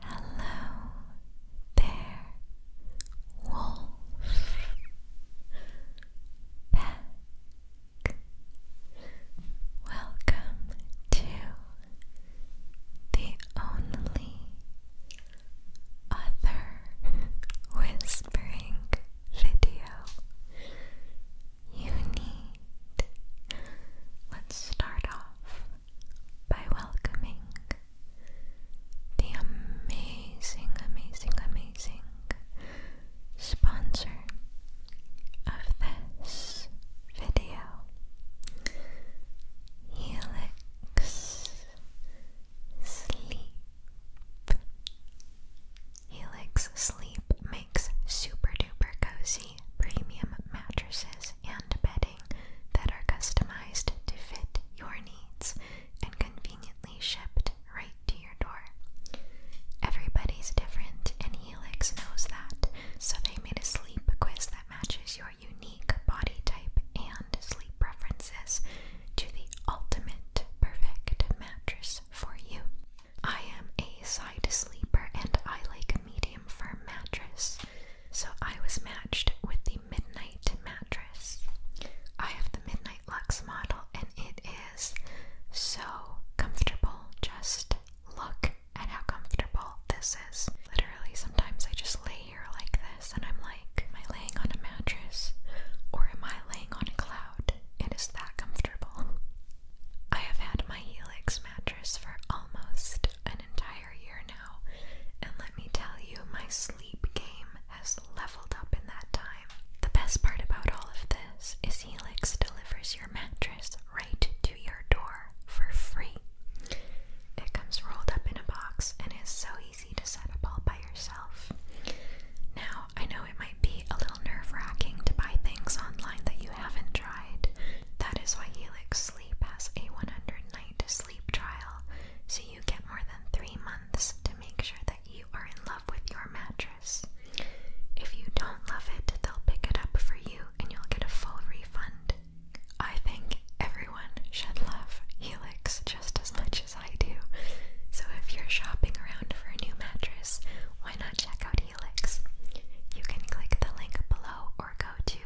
Hello there, Wolf. Back. Welcome to the only other whispering video you need. Let's start off by welcoming the amazing, amazing, amazing sponsor of this video, Helix Sleep. Helix Sleep makes super duper cozy premium mattresses and bedding that are customized to fit your needs and conveniently shipped right to your door. Everybody's different, and Helix knows that, so they made a sleep quiz that matches your unique body type and sleep preferences to the ultimate perfect mattress for you. I am a side sleeper and I like a medium firm mattress. So I was matched with the Midnight mattress. I have the Midnight Lux model and it is so comfortable. Just look at how comfortable this is. Literally, sometimes I just lay here like this and I'm like, am I laying on a mattress or am I laying on a cloud? It is that comfortable. I have had my Helix mattress for almost an entire year now, and let me tell you, my sleep game has leveled up in that time. The best part about all of this is Helix delivers your mattress right to your door for free. It comes rolled up in a box and is so easy to set up all by yourself. Now, I know it might be a little nerve wracking to buy things online that you haven't tried. That is why Helix Sleep has a 100 night sleep trial, so you get more than three months to make sure that you are in love with your mattress. If you don't love it, they'll pick it up for you and you'll get a full refund. I think everyone should love Helix just as much as I do. So if you're shopping around for a new mattress, why not check out Helix? You can click the link below or go to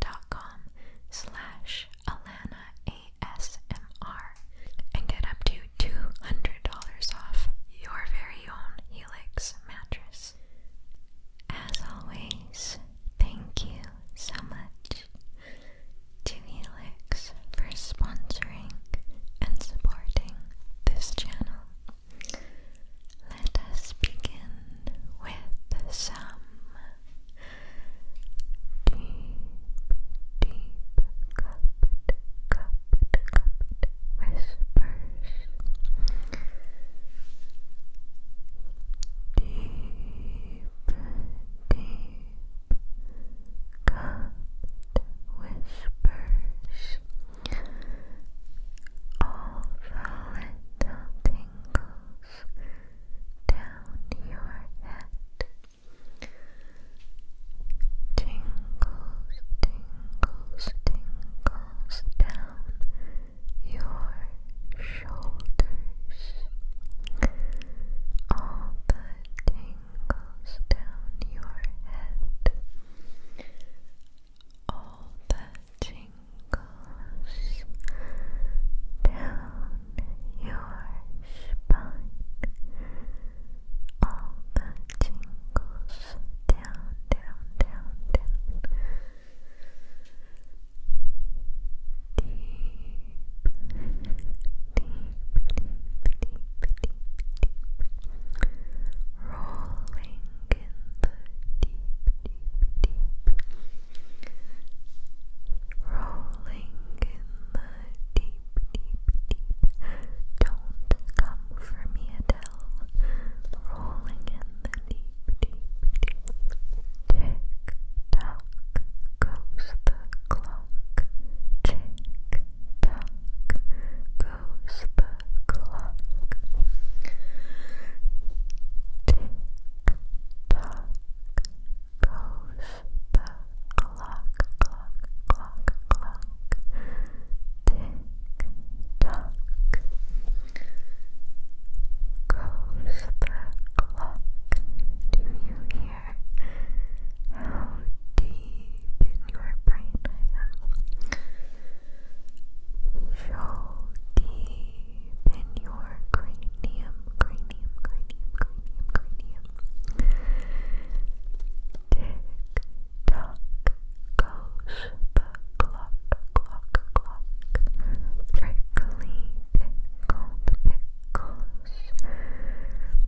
dot com slash Alana ASMR and get up to $200 off your very own Helix mattress. As always, thank you so much to Helix for sponsoring and supporting this channel. Let us begin with some deep, deep, cupped, cupped, cupped whispers. Deep, deep, cupped whispers all the little tingles down your head. Tingles, tingles, tingles down your shoulders. All the tingles down your head all the jingles down your spine, all the jingles down, down, down, down, deep, deep, deep, deep, deep, deep, rolling in the deep. Deep, rolling in the deep, deep, deep. Don't come for me, Adele. Rolling in the deep, deep, deep. Tick tock goes the clock. Tick tock goes the clock. Tick tock goes the clock, clock, clock, clock. Tick tock goes the clock. Do you hear how deep your brain I am? So in your cranium, cranium, cranium, cranium, cranium. Tick tock goes the clock, clock, clock. Prickly pickled pickles.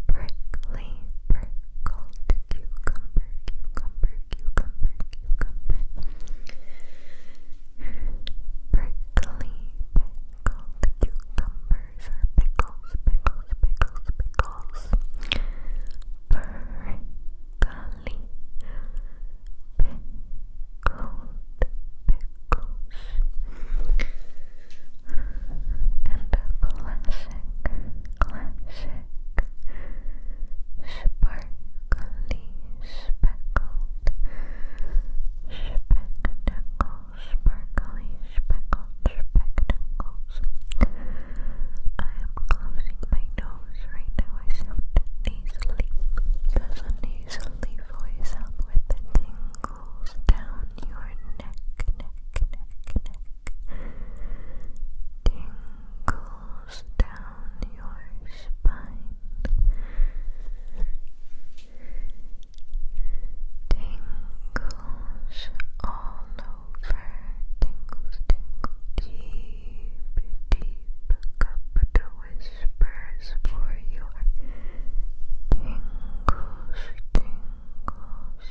Prickly prickled cucumber, cucumber, cucumber, cucumber. Prickly cucumbers are pickles, pickles, pickles, pickles. Prickly pickled pickles. And a classic, classic, sparkly speckled, spectacle, sparkly, speckled spectacles. I am closing my nose right now. I sound nasally. Does nasally voice help with tingles down your neck, neck, neck, neck? Tingles rolls down your spine, tingles all over, tingles, tingles, deep, deep cup whispers for your tingles, tingles,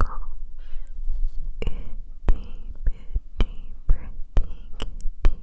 tingles. Itty bitty, pretty kitty,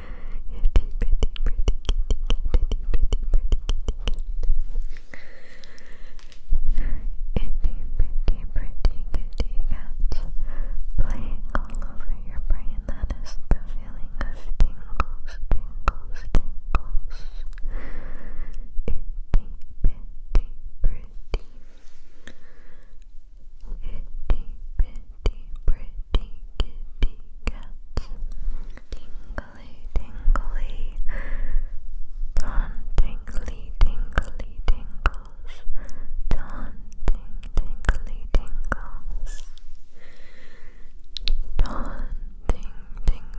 pretty, pretty kitty cats playing all over your brain. That is the feeling of tingles, tingles, tingles. Itty, bitty, pretty. Itty bitty pretty kitty cats. Tingly, tingly, tauntingly, tingly tingles. Taunting, tingly tingles. Taunting, tingly, tingly tingles. Taunting,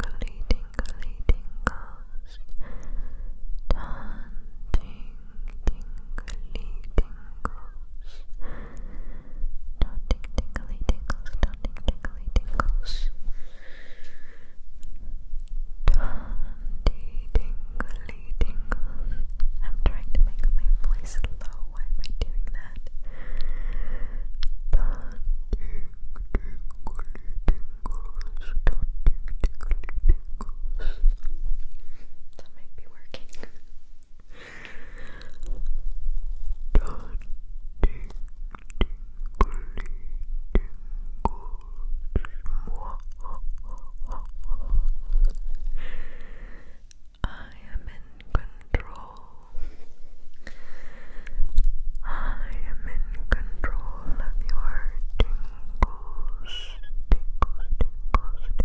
tingly tingles. Nothing tingly tingles, nothing tingly tingles. Twenty tingly tingles. I'm trying to make my voice low. Why am I doing that? That might be working. I am in control. I am in control of your tingles, tingles, tingles,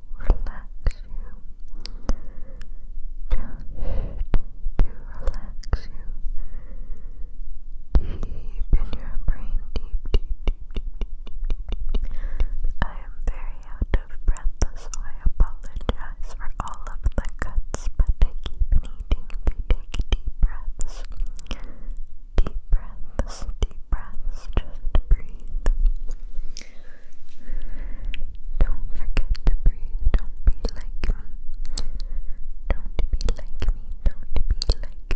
relax you. Just to relax you. Deep in your brain, deep, deep, deep, deep, deep, deep, deep. I am very out of breath, so I apologize for all of the cuts, but I keep needing to take deep breaths. Deep breaths, deep breaths, just breathe. Don't forget to breathe. Don't be like Don't be like me. Don't be like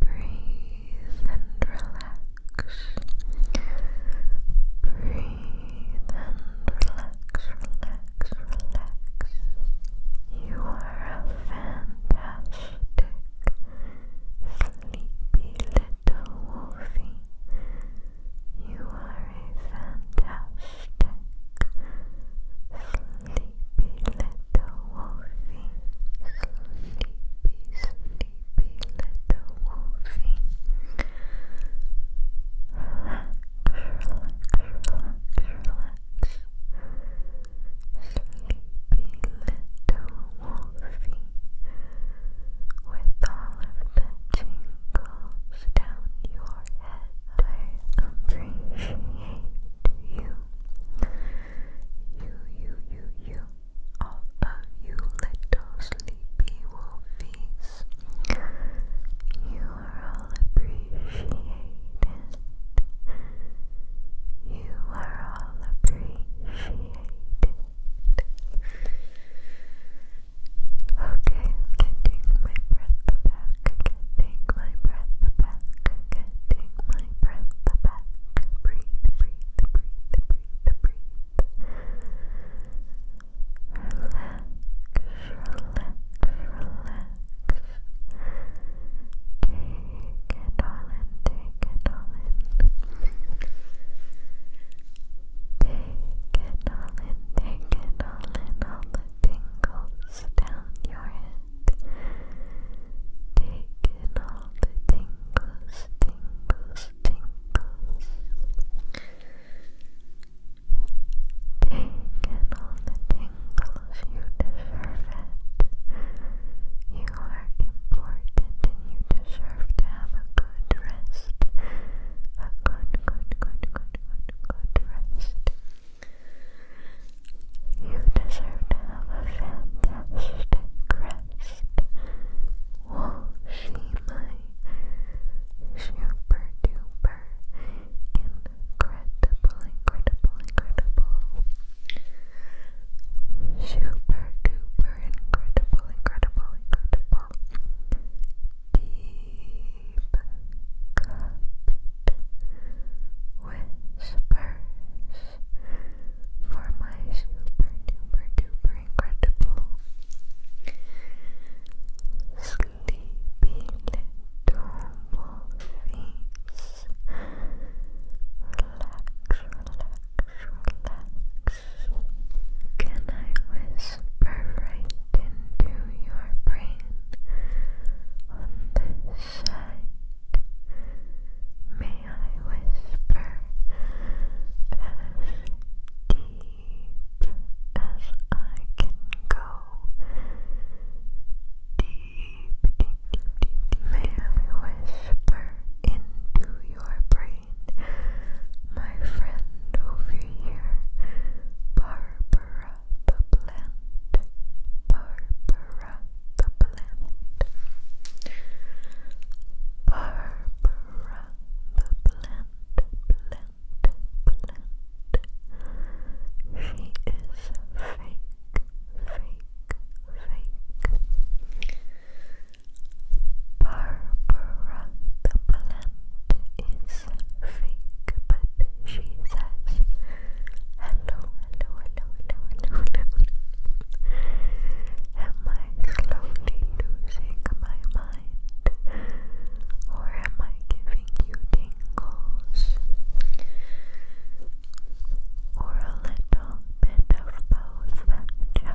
Breathe and relax. Breathe and relax, relax, relax. You are a fantastic Sleepy little wolfie, you are a fantastic sleepy little wolfie, sleepy, sleepy little wolfie. Relax, Sleepy little wolfie. Wolfie with all of the tingles down your head. I appreciate you. You, you, you, you. All of you little sleepy wolfies. You are all appreciated. You are all appreciated. Okay, I my breath back. I my breath back. I my breath back. Breathe, breathe, breathe, breathe, breathe. Relax, relax, relax it all in, take it all in. Take it all in, take it all in, all the tingles down your head. Take in all the tingles, tingles, tingles. Take in all the tingles, you deserve it. You you are important and you deserve to have a good rest. A good, good, good, good, good, rest. You deserve to have a fantastic rest. Well, she, my super duper incredible, incredible, incredible super duper incredible, incredible, incredible deep cut whispers for my super duper duper incredible sleepy little wolfies relax relax. Can I whisper right into your brain on this side? May I whisper as deep as I can go? Deep, deep, deep, May I whisper into your brain. My friend over here, Barbara the plant. Barbara the plant. Barbara the plant, plant, plant. She is fake, fake, fake. Barbara the plant is fake, but she says hello, hello, hello, hello, hello, Am I slowly losing my mind? Or am I giving you tingles? Or a little bit of both,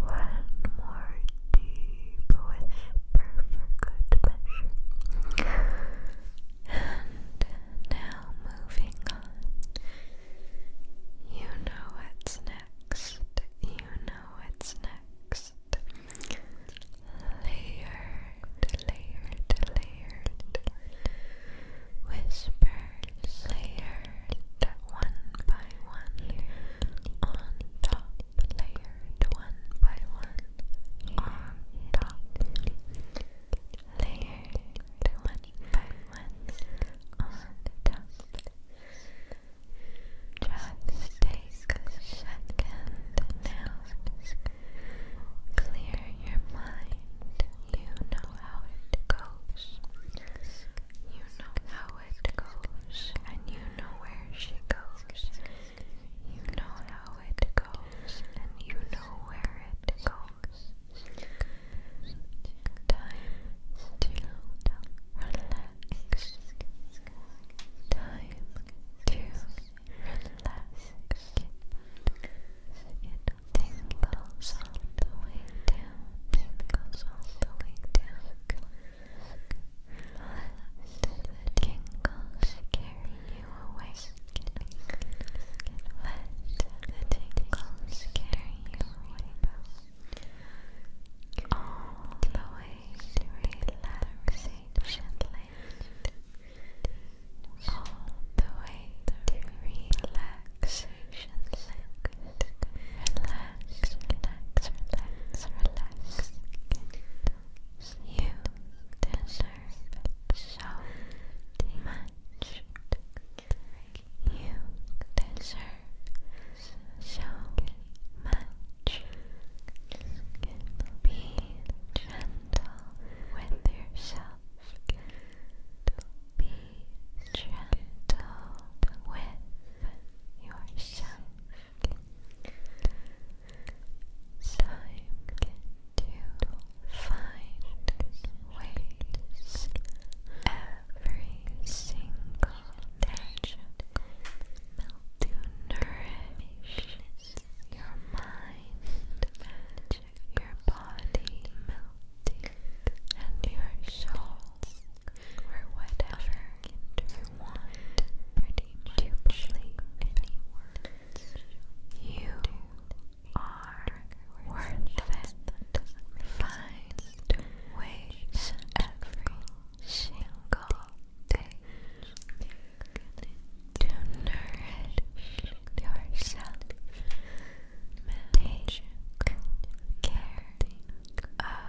One more deep whisper for good measure. And now moving on. You know what's next. You know what's next. Layered, layered, layered. Whisper layered one by one on top, layered one by one on top, layered one by one on top. Just take a second now. Clear your mind. You know how it goes. You know how it goes, and you know where she goes. You know how it goes, and you know where it goes. Time to relax. Time to relax. It tingles all the way down. It goes all the way down Let the tingles carry you away Let the tingles carry you away All the way to relaxation land all the way to relaxation relax, relax, relax. You deserve so much. You deserve so much. Be gentle with yourself. Be gentle with yourself time to find ways every single day to nourish your mind your body and your soul or whatever you want pretty any words you are worth it find ways every single day to nourish yourself take care of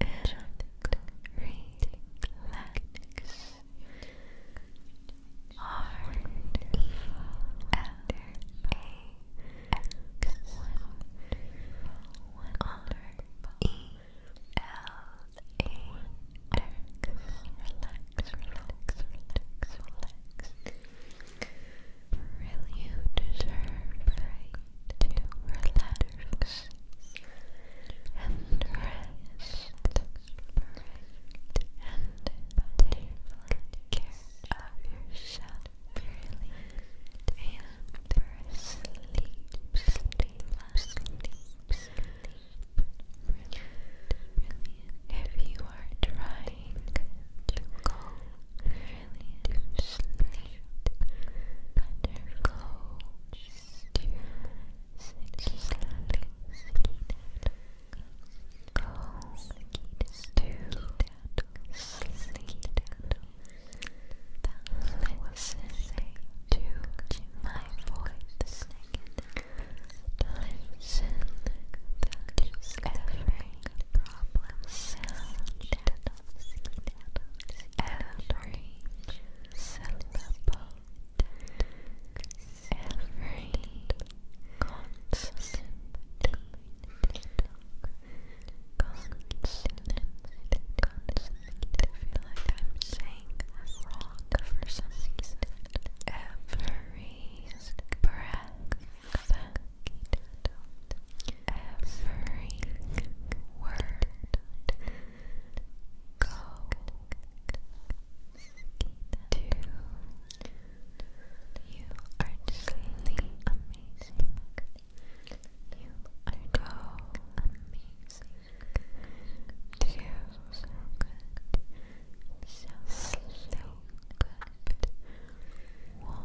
and relax. R-E-L-A-X R-E-L-A-X Relax, relax, relax, relax. Really, you deserve to relax and rest and take care of yourself and sleep, sleep, sleep, sleep. If you are trying to go brilliant sleep undergoes to sleep goes to sleep listening to my voice listen to every problem every syllable, every consonant, consonant, consonant. I feel like I'm saying wrong for Every breath every word go to you are truly amazing you are go amazing too so good so so good will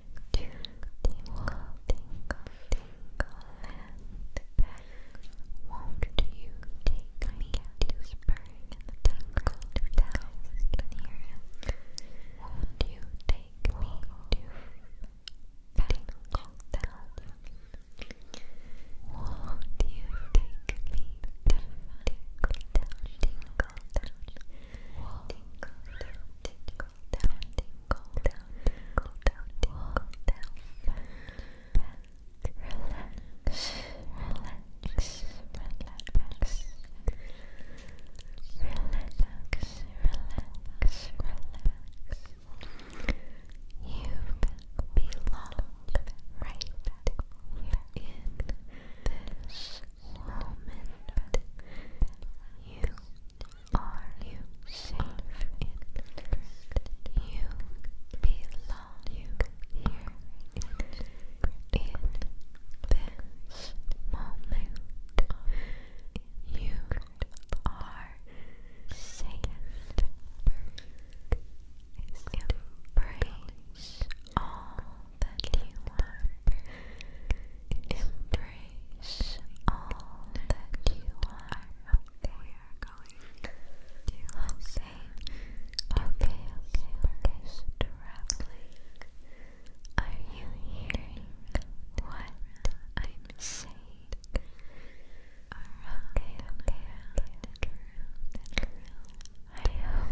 tingle, tingle, tingle, and back. Won't you take me to spring and the tingle bells can hear it? Won't you take me to tingle bells? Won't you take me to tingle bells? Tingle bells. Tinkle down, tinkle down, tinkle down, tinkle down, tinkle down. Relax, relax, relax. Relax, relax, relax. You belong right here in this moment. You are you safe in You belong here in this moment. You are safe. Embrace all that you are. Embrace embrace all that you are. We are going to okay. Okay, okay, okay. Traveling. Are you hearing what I'm saying? Okay, okay, okay. I hope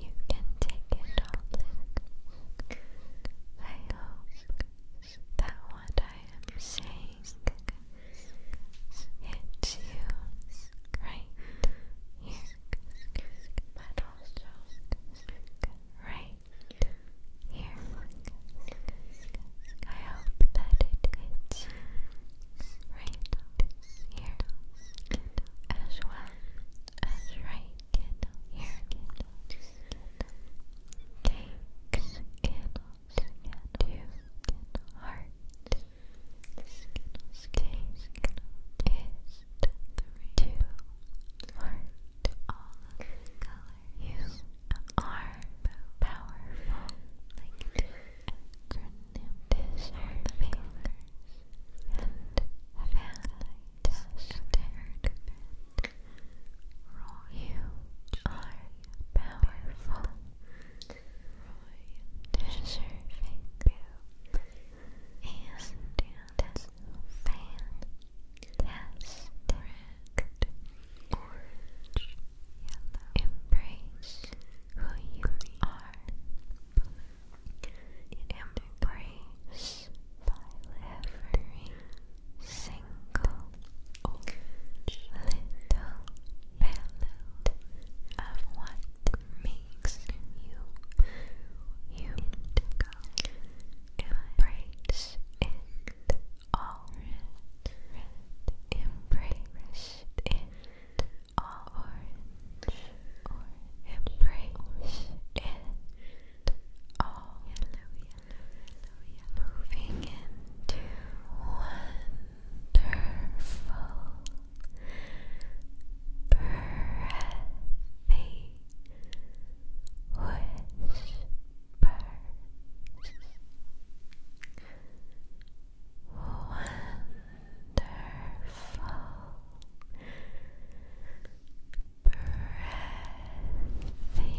you can take it all in. I hope that what I am saying hits you right here, I hope that it hits you right here as well as right here cakes, candles, candles, hearts, candles, cakes, is to heart all of the colors. You are powerful, like the acronym is the fingers and family tested Roy, you are powerful, Roy, deserving, and that's fantastic. embrace who you are. embrace embrace every single little bit of what makes you you embrace it all embrace it all embrace it all Moving into wonderful breathy whispers. Wonderful breathy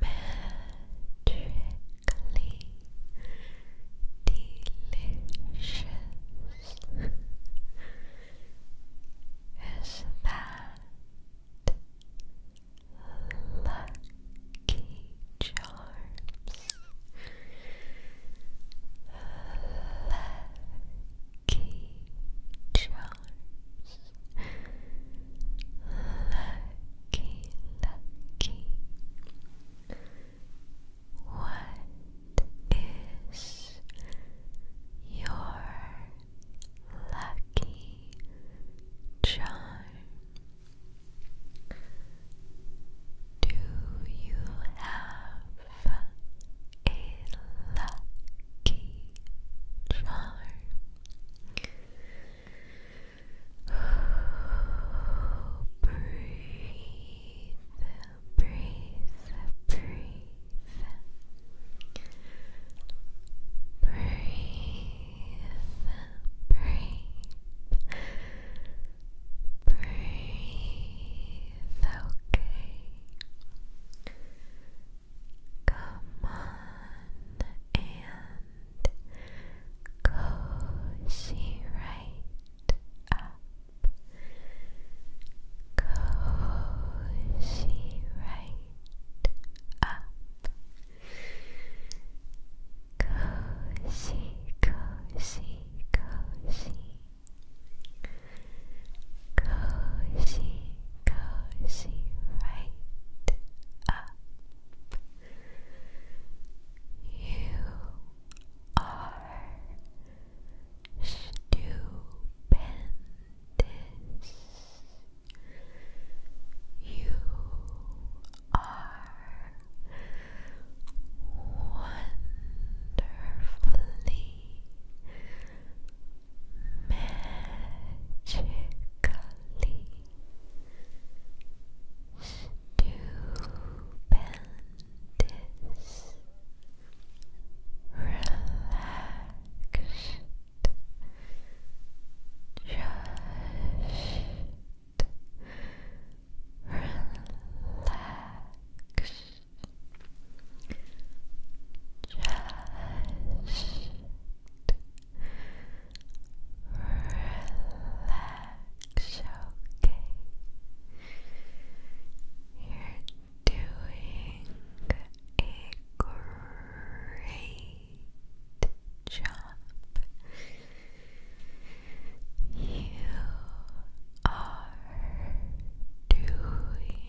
magically delicious. Is that lucky charms? Lucky charms. Lucky, lucky. What is your lucky charm? Do you have a lucky charm? breathe, breathe, breathe, breathe, breathe. Breathe, okay. Come on and cozy right up. Cozy right up. Cozy, cozy, cozy. Cozy, cozy, right up up. You are stupendous. You are wonderfully, magically Stupendous, relaxed, just relaxed, just Relax, okay? You're doing a great job. You are doing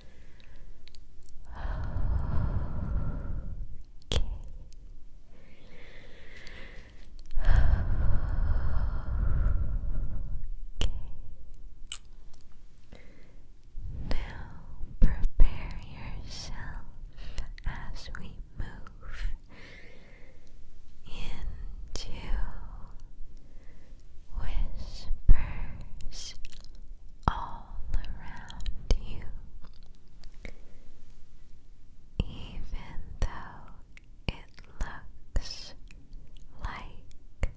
Okay. Okay. Now prepare yourself as we move into whispers all around you, even though it looks like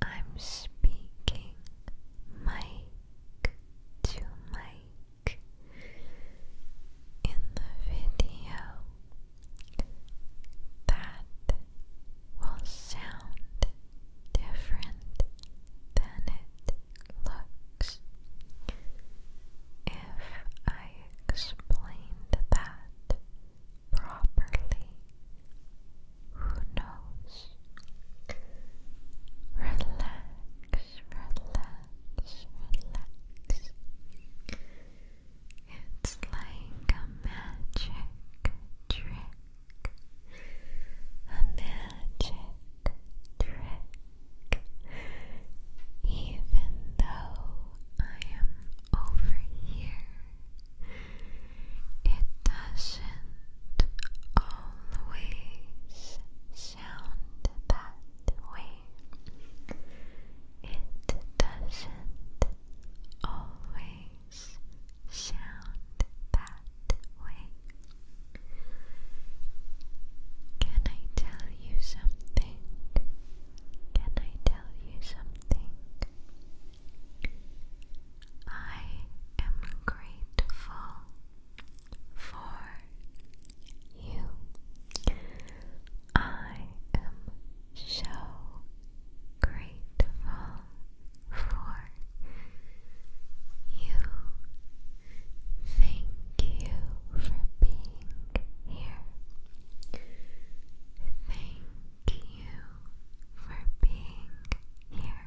I'm speaking mic to mic in the video. That will sound different than it looks. If I explained that properly, who knows? Relax, relax, relax. It's like a magic trick a magic trick. Even though I am over here, it doesn't always sound that way. It doesn't always sound that way. Can I tell you something? Can I tell you something? I am grateful for you. I am so grateful for you. Thank you for being here. Thank you for being here.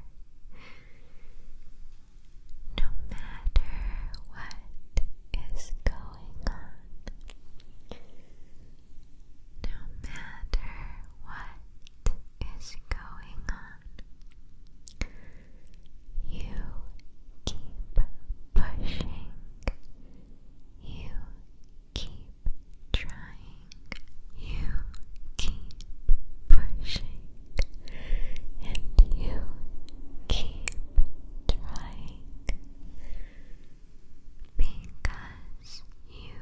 No matter what is going on, no matter what is going on. You keep pushing. You keep trying. You keep pushing. And you keep trying. Because you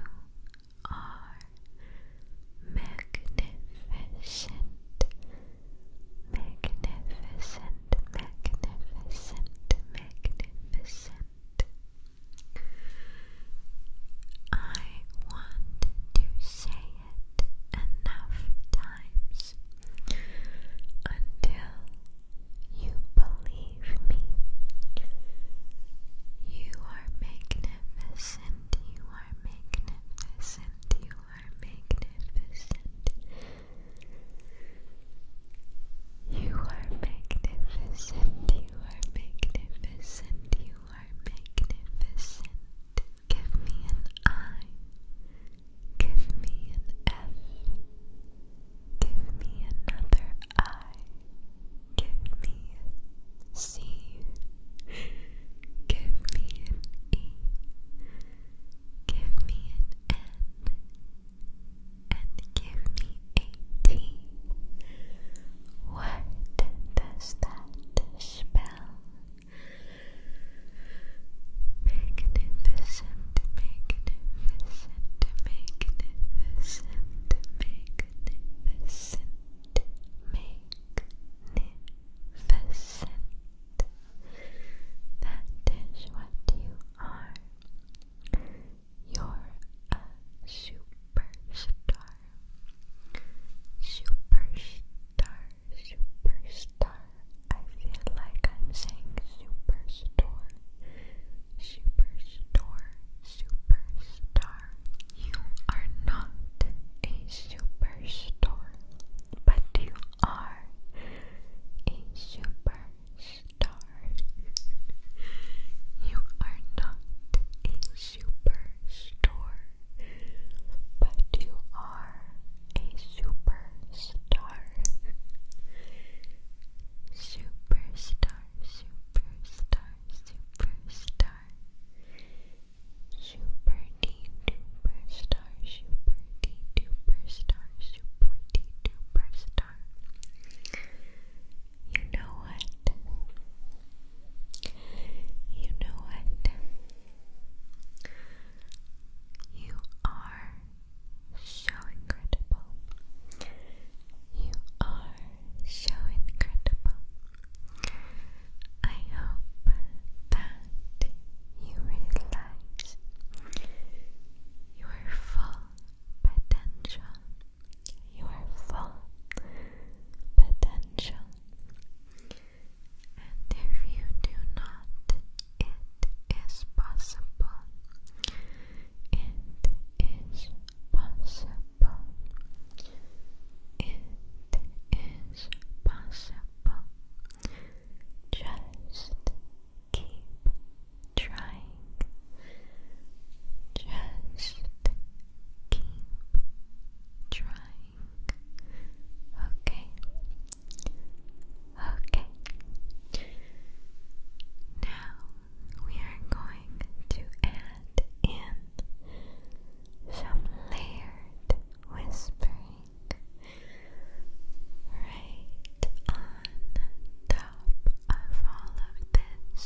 are magnificent, magnificent, magnificent, magnificent. I want to say it enough times until you believe me. You are magnificent, you are magnificent you are magnificent. You are magnificent. You are magnificent. You are magnificent. Give me an I. Give me an F. Give me another I. Give me C. Give me an E. Give me an N. And give me a T. What does that spell? Magnificent, magnificent, magnificent, magnificent, magnificent magnificent. That is what you are. You're a superstar. Superstar, superstar. I feel like I'm saying superstore. Superstore, superstar. You are not a superstar, but you are a superstar. you are not a superstore, but you are a superstar. Superstar, superstar, superstar. Super D Superstar, Super D Superstar, Super D Superstar. You know what? You know what? You are so incredible. You are so incredible. I hope that you realize your full potential, your full potential, and if you do not, it is possible. It is possible. It is possible. Just keep trying. Just keep trying. Okay. Okay. Now we are going to add in some layered whispers right on top of all of this.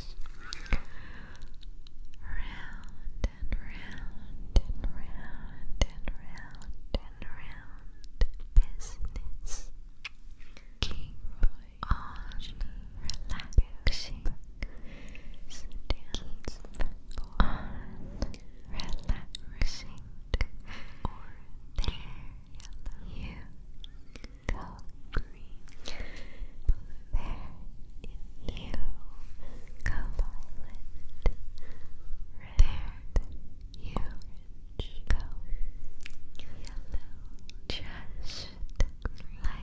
Round and round and round and round and round business. Keep on relaxing. Keep on relaxing or there you go green there you go violet there you go yellow just like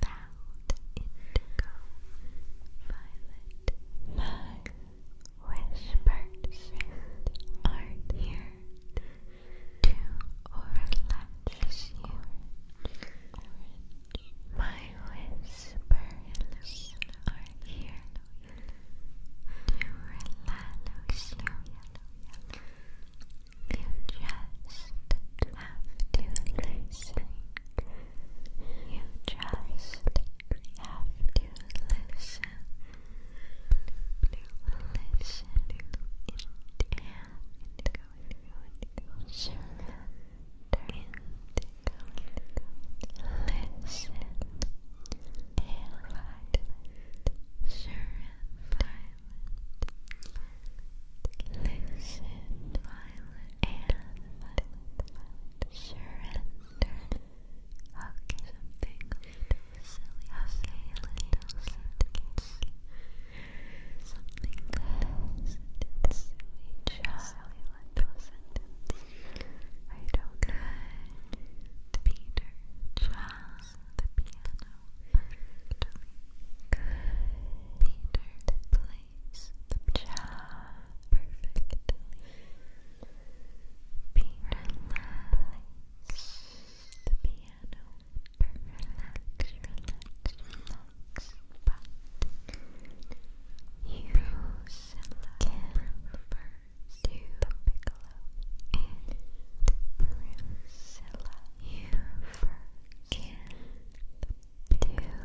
that Cloud, Indigo, Violet, Mug, Whispers are here to relax you. My whispers are here to relax you. You just have to listen. You just have to listen. Listen and surrender. Listen and surrender. Listen and Sure. Okay, something little silly. I'll say a little silly. Something silly Little sentence. I don't know. Peter the piano Good. Peter place the job perfectly. Be The piano. Relax, relax, relax. But you can reverse to the piccolo and Priscilla. You first can do it.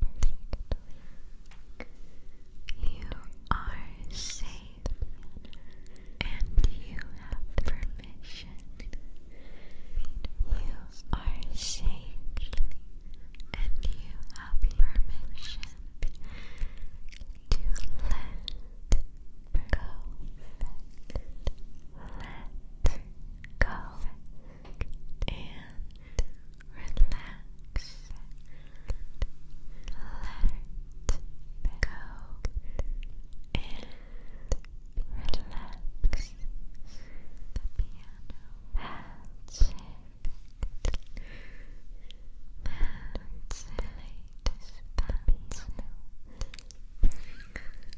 perfectly. You are safe and you have permission. You are safe and you have permission to Let go. Let go and relax. Let go and relax. The piano. That's it. That's it.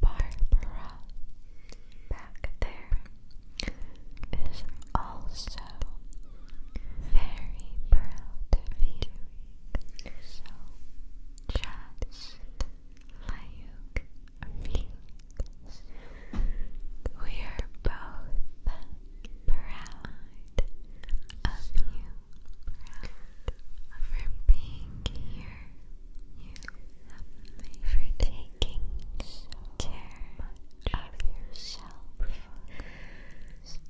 Barbara. Back there is also very proud of you. So just like Phoenix, we are both proud of you. for being here. You for taking so care of yourself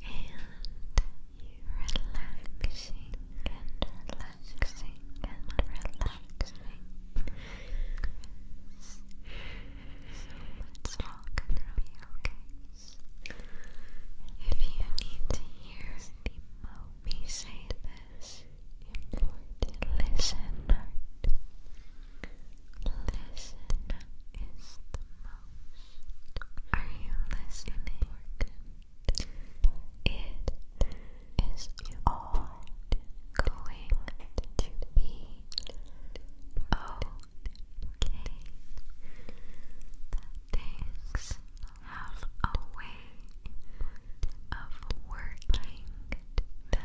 and you relaxing and relaxing and relaxing. it's all gonna be okay. If you need to hear the say this, important listener. Listen is the most. Are you listening? It is all going to be okay. things have a way of working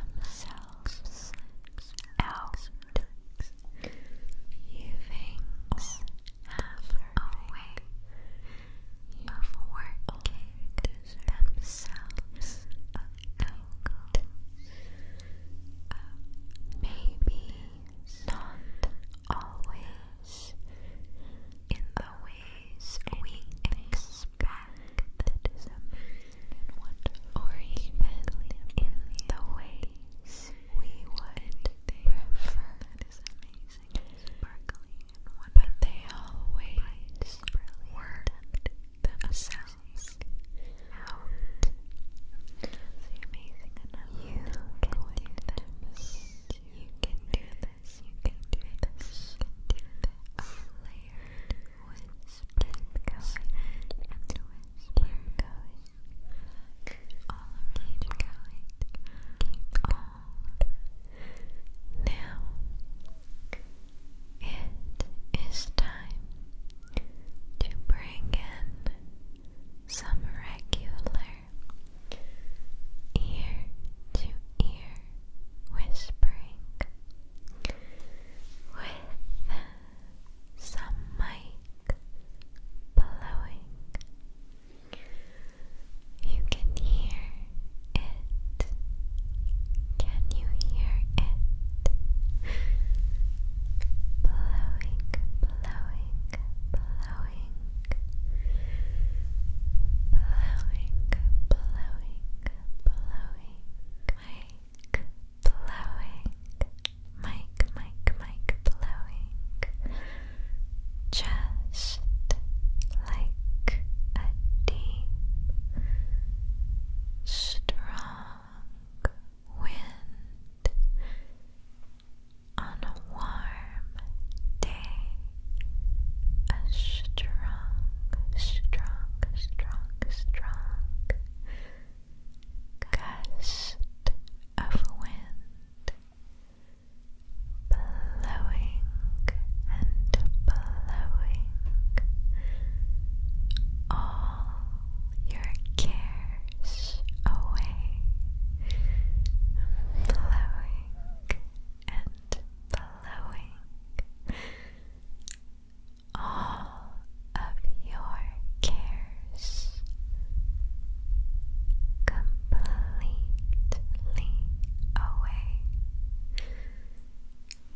themselves yourself You things have a way working themselves out. maybe not always in the ways we expect back or even in the ways we would prefer. That is amazing But they always work themselves out. So amazing You can do this. You can do this. You can do this whisper going all around keep going keep now it is time to bring in some regular ear to ear whispering with some mic blowing. You can hear it. Can you hear it? Blowing, blowing, blowing. Blowing, blowing, blowing blowing, mic, mic, mic blowing, just like a deep, strong wind on a warm day. A strong, strong, strong, strong gust of wind blowing and blowing all your cares away, blowing and blowing all of your cares completely away.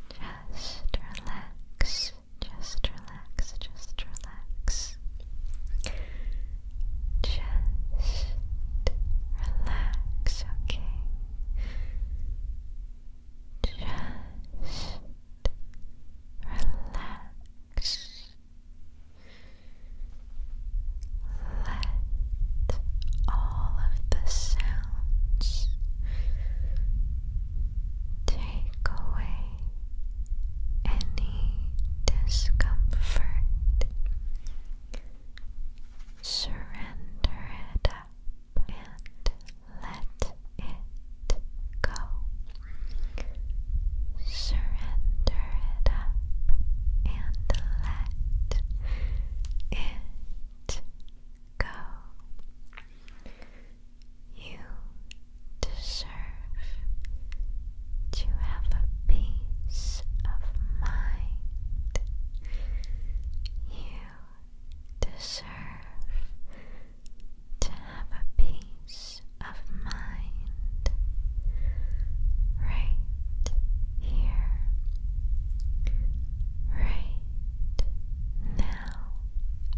Just relax, just relax, just relax. Just relax, okay? Just relax. Let all of the sounds take away any discomfort. Surrender it and let it go. Surrender it up and let it go. You deserve to have a peace of mind. You deserve to have a peace of mind right here, right now.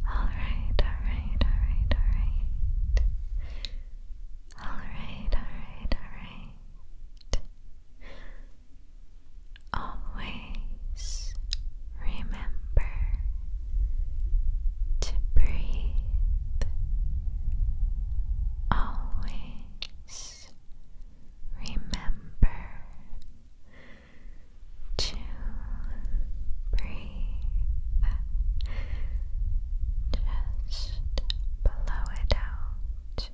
Alright, alright, alright, alright. Alright, alright, Always Remember to breathe. Always remember to breathe just blow it out.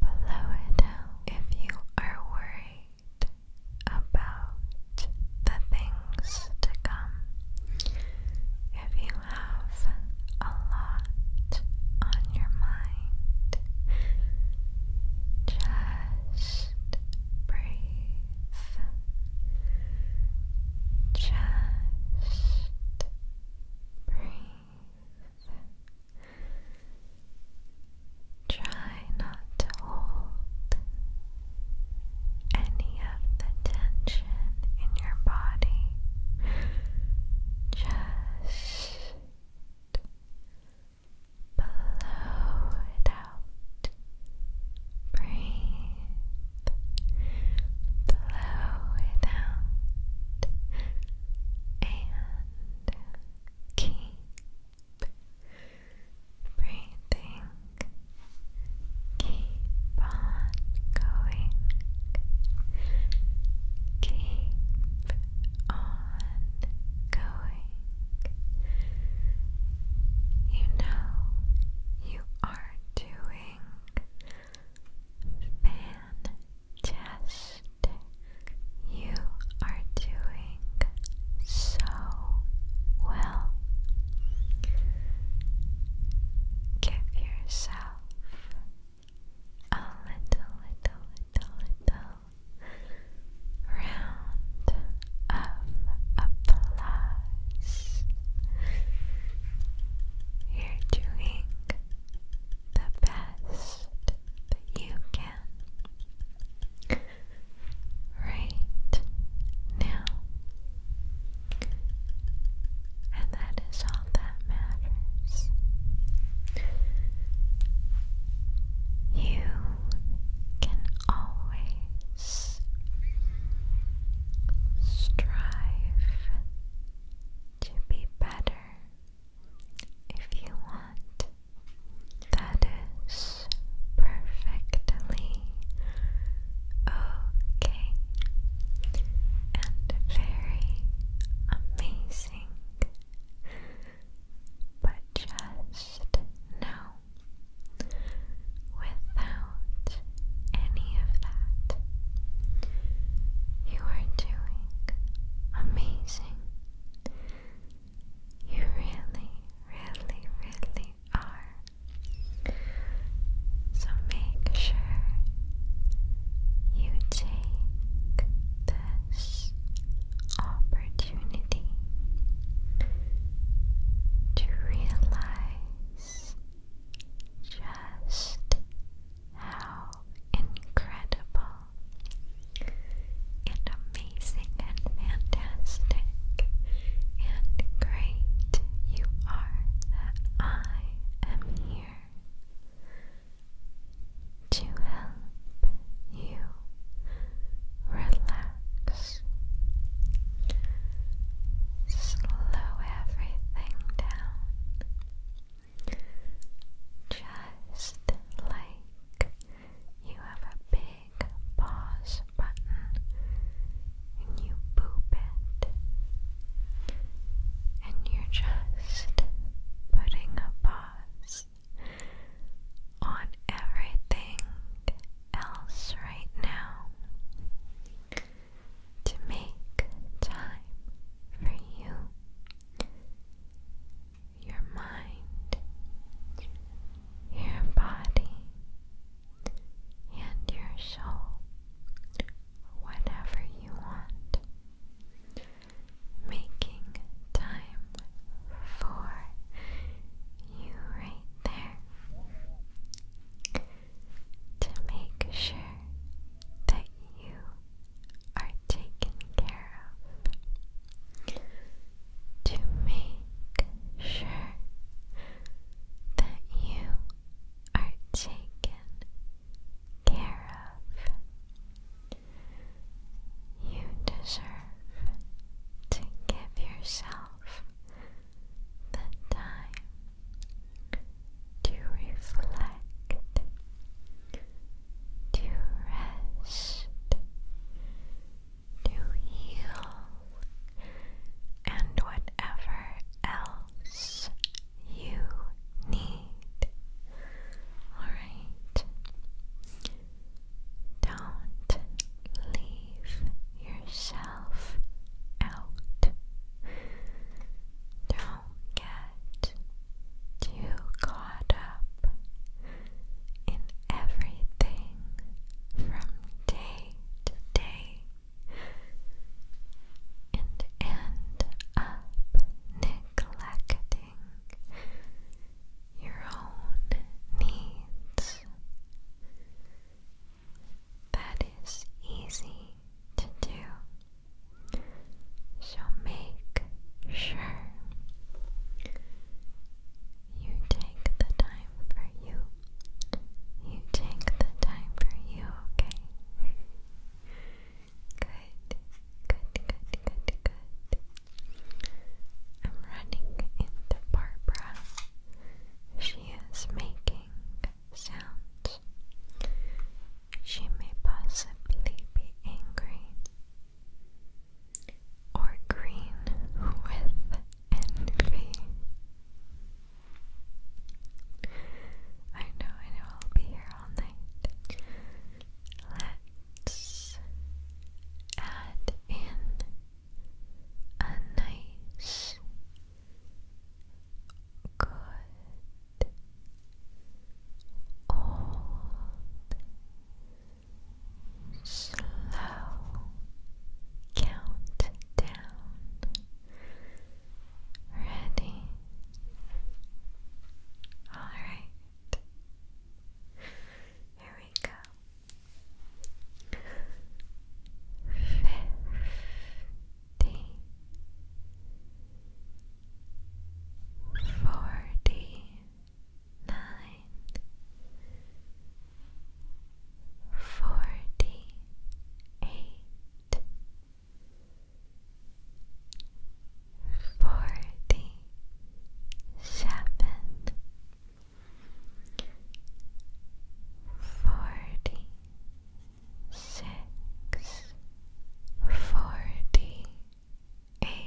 Blow it out. If you are worried about the things to come. If you have a lot on your mind, just breathe. Just breathe. Try not to hold any of the tension in your body. Just blow it out. Breathe. Blow it out. And keep breathing. Keep on going. Keep on going. You know you are doing fantastic. You are doing so well. Give yourself a little, little, little, little round of applause. You're doing the best you can right now. And that is all that matters. You can always strive to be better if you want that is perfectly okay and very amazing. But just know without any of that, you are doing amazing. You really, really, really are. So make sure you take this opportunity to realize just how incredible and amazing and fantastic and great you are I am here to help you relax. Slow everything down. Just like you have a big pause button and you boop it, and you're just putting a pause on everything else right now to make time for you your mind, your body, and your soul, whatever you want, making time for you right there to make sure that you are taken care of to make sure that you are taken care of. You deserve to give yourself the time to reflect, to rest, to heal and whatever else you need. Alright? Don't leave yourself out. Don't get too caught up in everything from day to day and end up neglecting your own needs. That is easy to do. So make sure you take the time for you. You take the time for you, okay? Good, good, good, good, good. I'm running into Barbara. She is making sounds. She may possibly be angry or green with envy. I know, I know, I'll be here all night. Let's add in a nice, good, old slow countdown ready all right here we go Fifty, forty, nine, forty eight, forty seven, forty six, forty eight.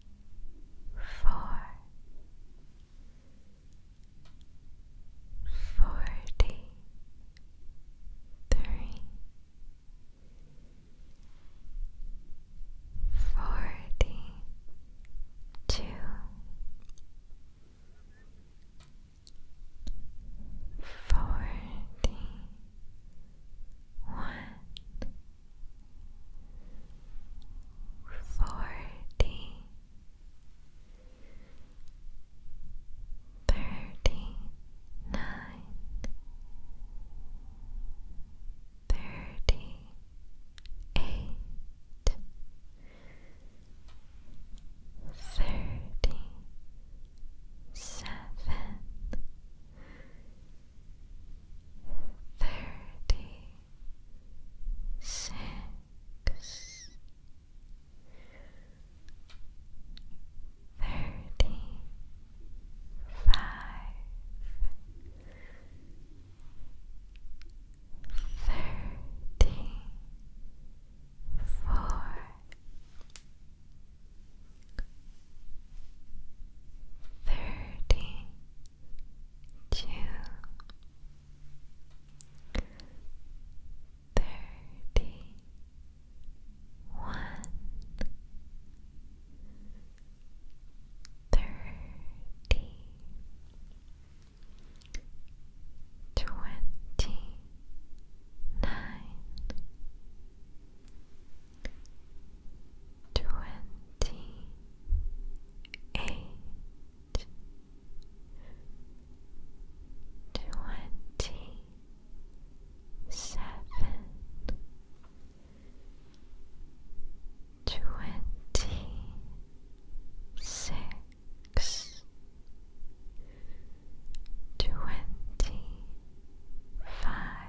four, forty three, forty two, forty one forty, thirty nine, thirty eight, thirty seven thirty six thirty five thirty four thirty two, thirty one, thirty, twenty nine twenty eight, twenty seven, twenty six, twenty five.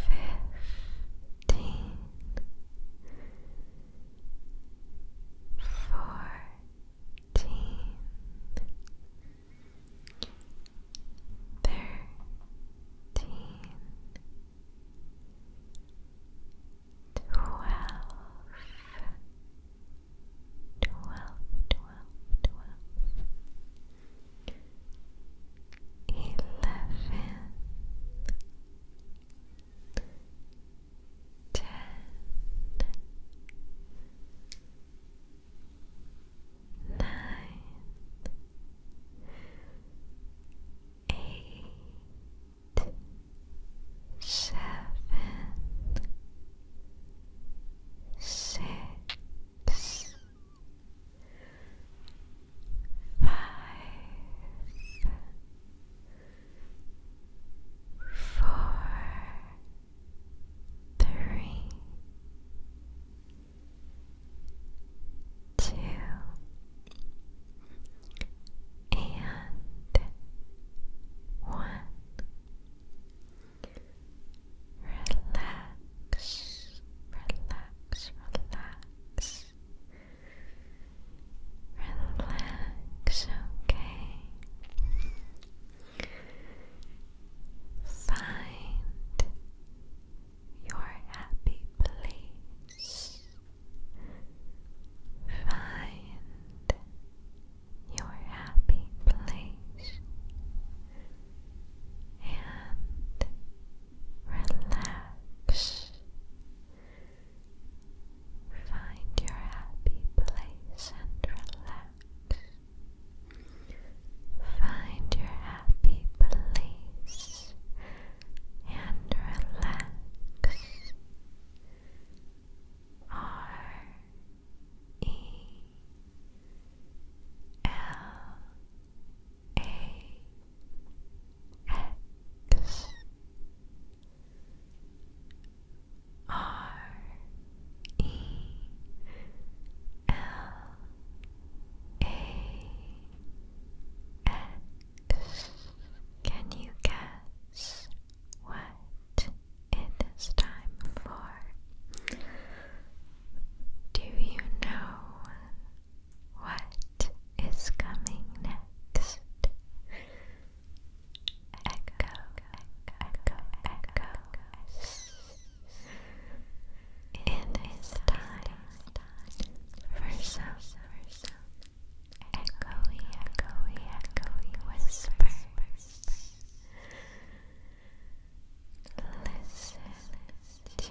fifteen, fourteen, thirteen, twelve, twelve, twelve, twelve eleven, ten, nine, eight, seven, six six, five, four, three, two, and one. Relax relax, relax. Relax, okay. Find your happy place. Find your happy place and relax. Find your happy place and relax. Find your happy place and relax. R E L A X R E L A X Can you guess what it is time for? Do you know what is coming next? Echo, echo, echo, echo. It is time for some echoey, echoey, echoey whispers. Listen to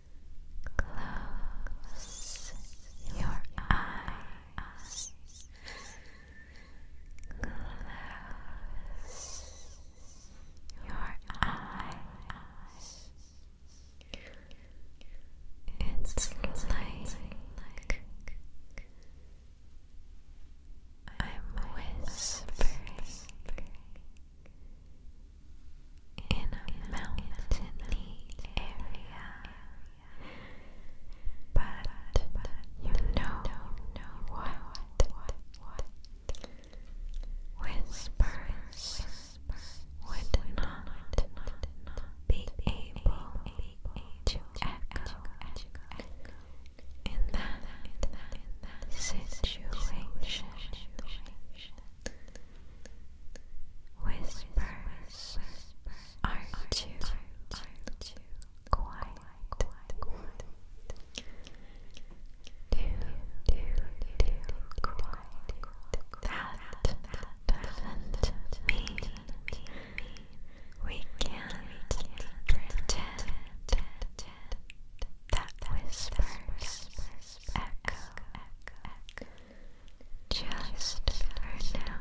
Close your eyes. Close your eyes. It's like I'm whispering in a mountainy area, but you know what? Whispers would not be able to echo in that situation. Whispers aren't you quiet? Do, do, do, quiet. That mean we can't pretend that whispers just echo, Just for now.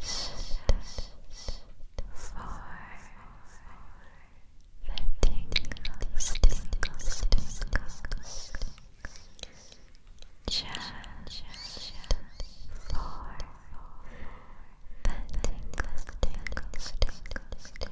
Just for the tingles, Just for the tingles,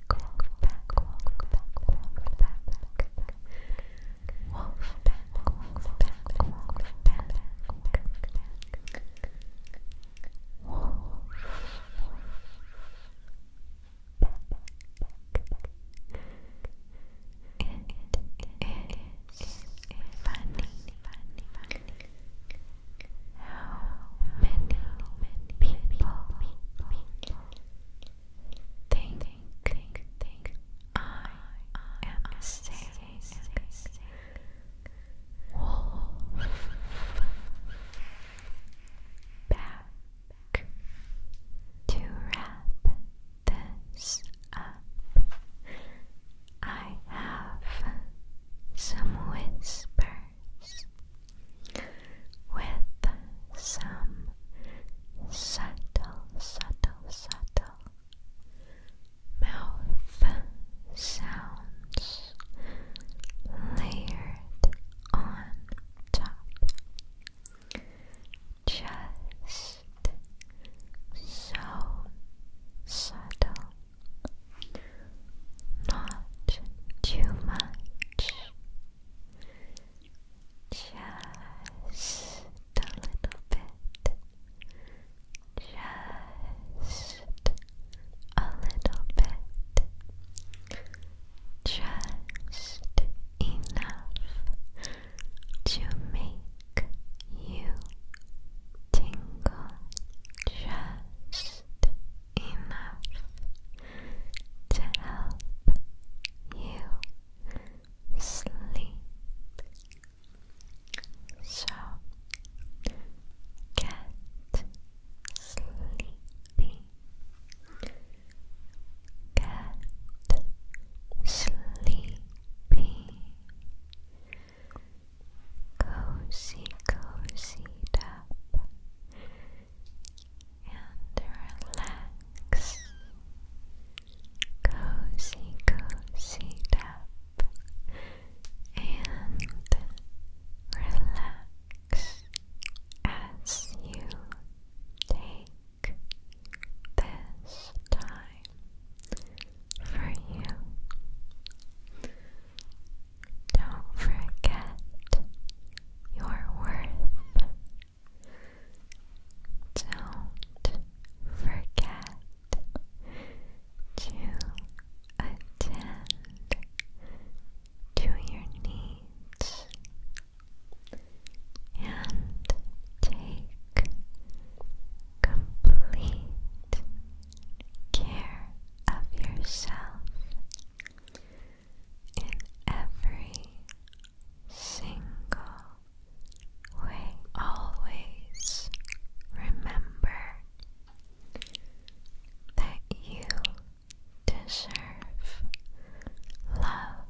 Wolf pack, wolf pack, wolf pack. Wolf pack, wolf pack, wolf pack. Wolf It is funny, funny, funny. How many, many people, people, people think, think, think, I am a wolf, back, to wrap this up, I have some whispers with some subtle, subtle, subtle mouth sounds layered on top. Just so subtle, not too much, just a little bit, just a little bit, just enough to make you tingle, just enough to help you sleep. So get sleepy. Get sleepy. Cozy, cozy up and relax. Cozy, cozy tap and relax as you take this time for you. Don't forget your worth don't forget to attend to your needs and take complete care of yourself in every single way. Always remember that you deserve love.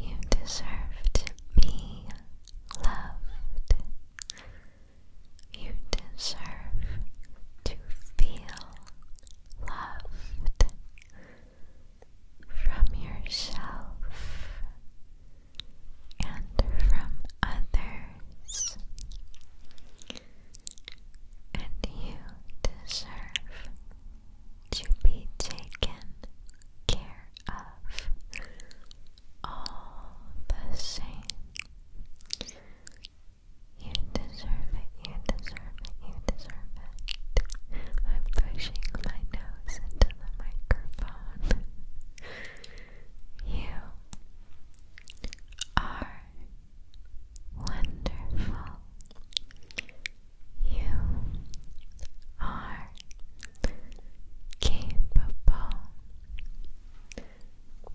You deserve to be loved. You deserve to feel loved from yourself and from others, and you deserve to be taken care of all the same. You deserve it, you deserve it, you deserve it. I'm pushing my nose into the microphone. you are wonderful. You are capable.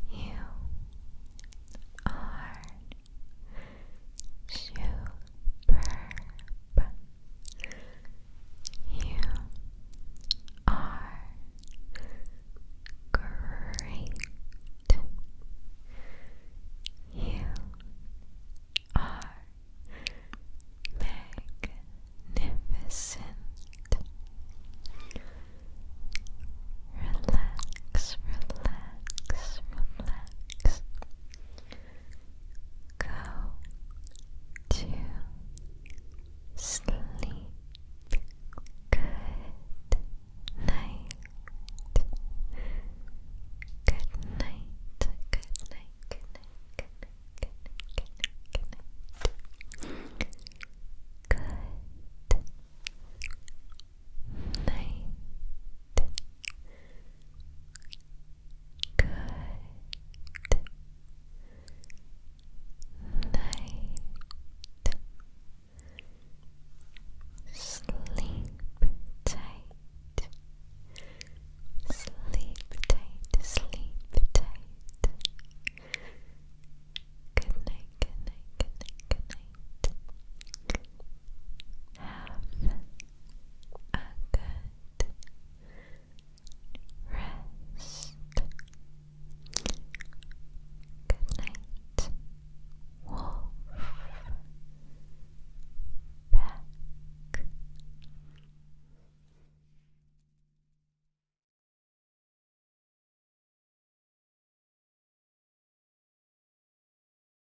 You are Superb. You are great. You are magnificent. Relax, relax, relax. Go to sleep. Good night. Good night. Good night. Good night. Good night. Good night. Good night. Good night night. Good night. Sleep tight. Sleep tight. Sleep tight. Good night. Good night. Good night. Good night. Have a good rest. Good night, wolf. Back.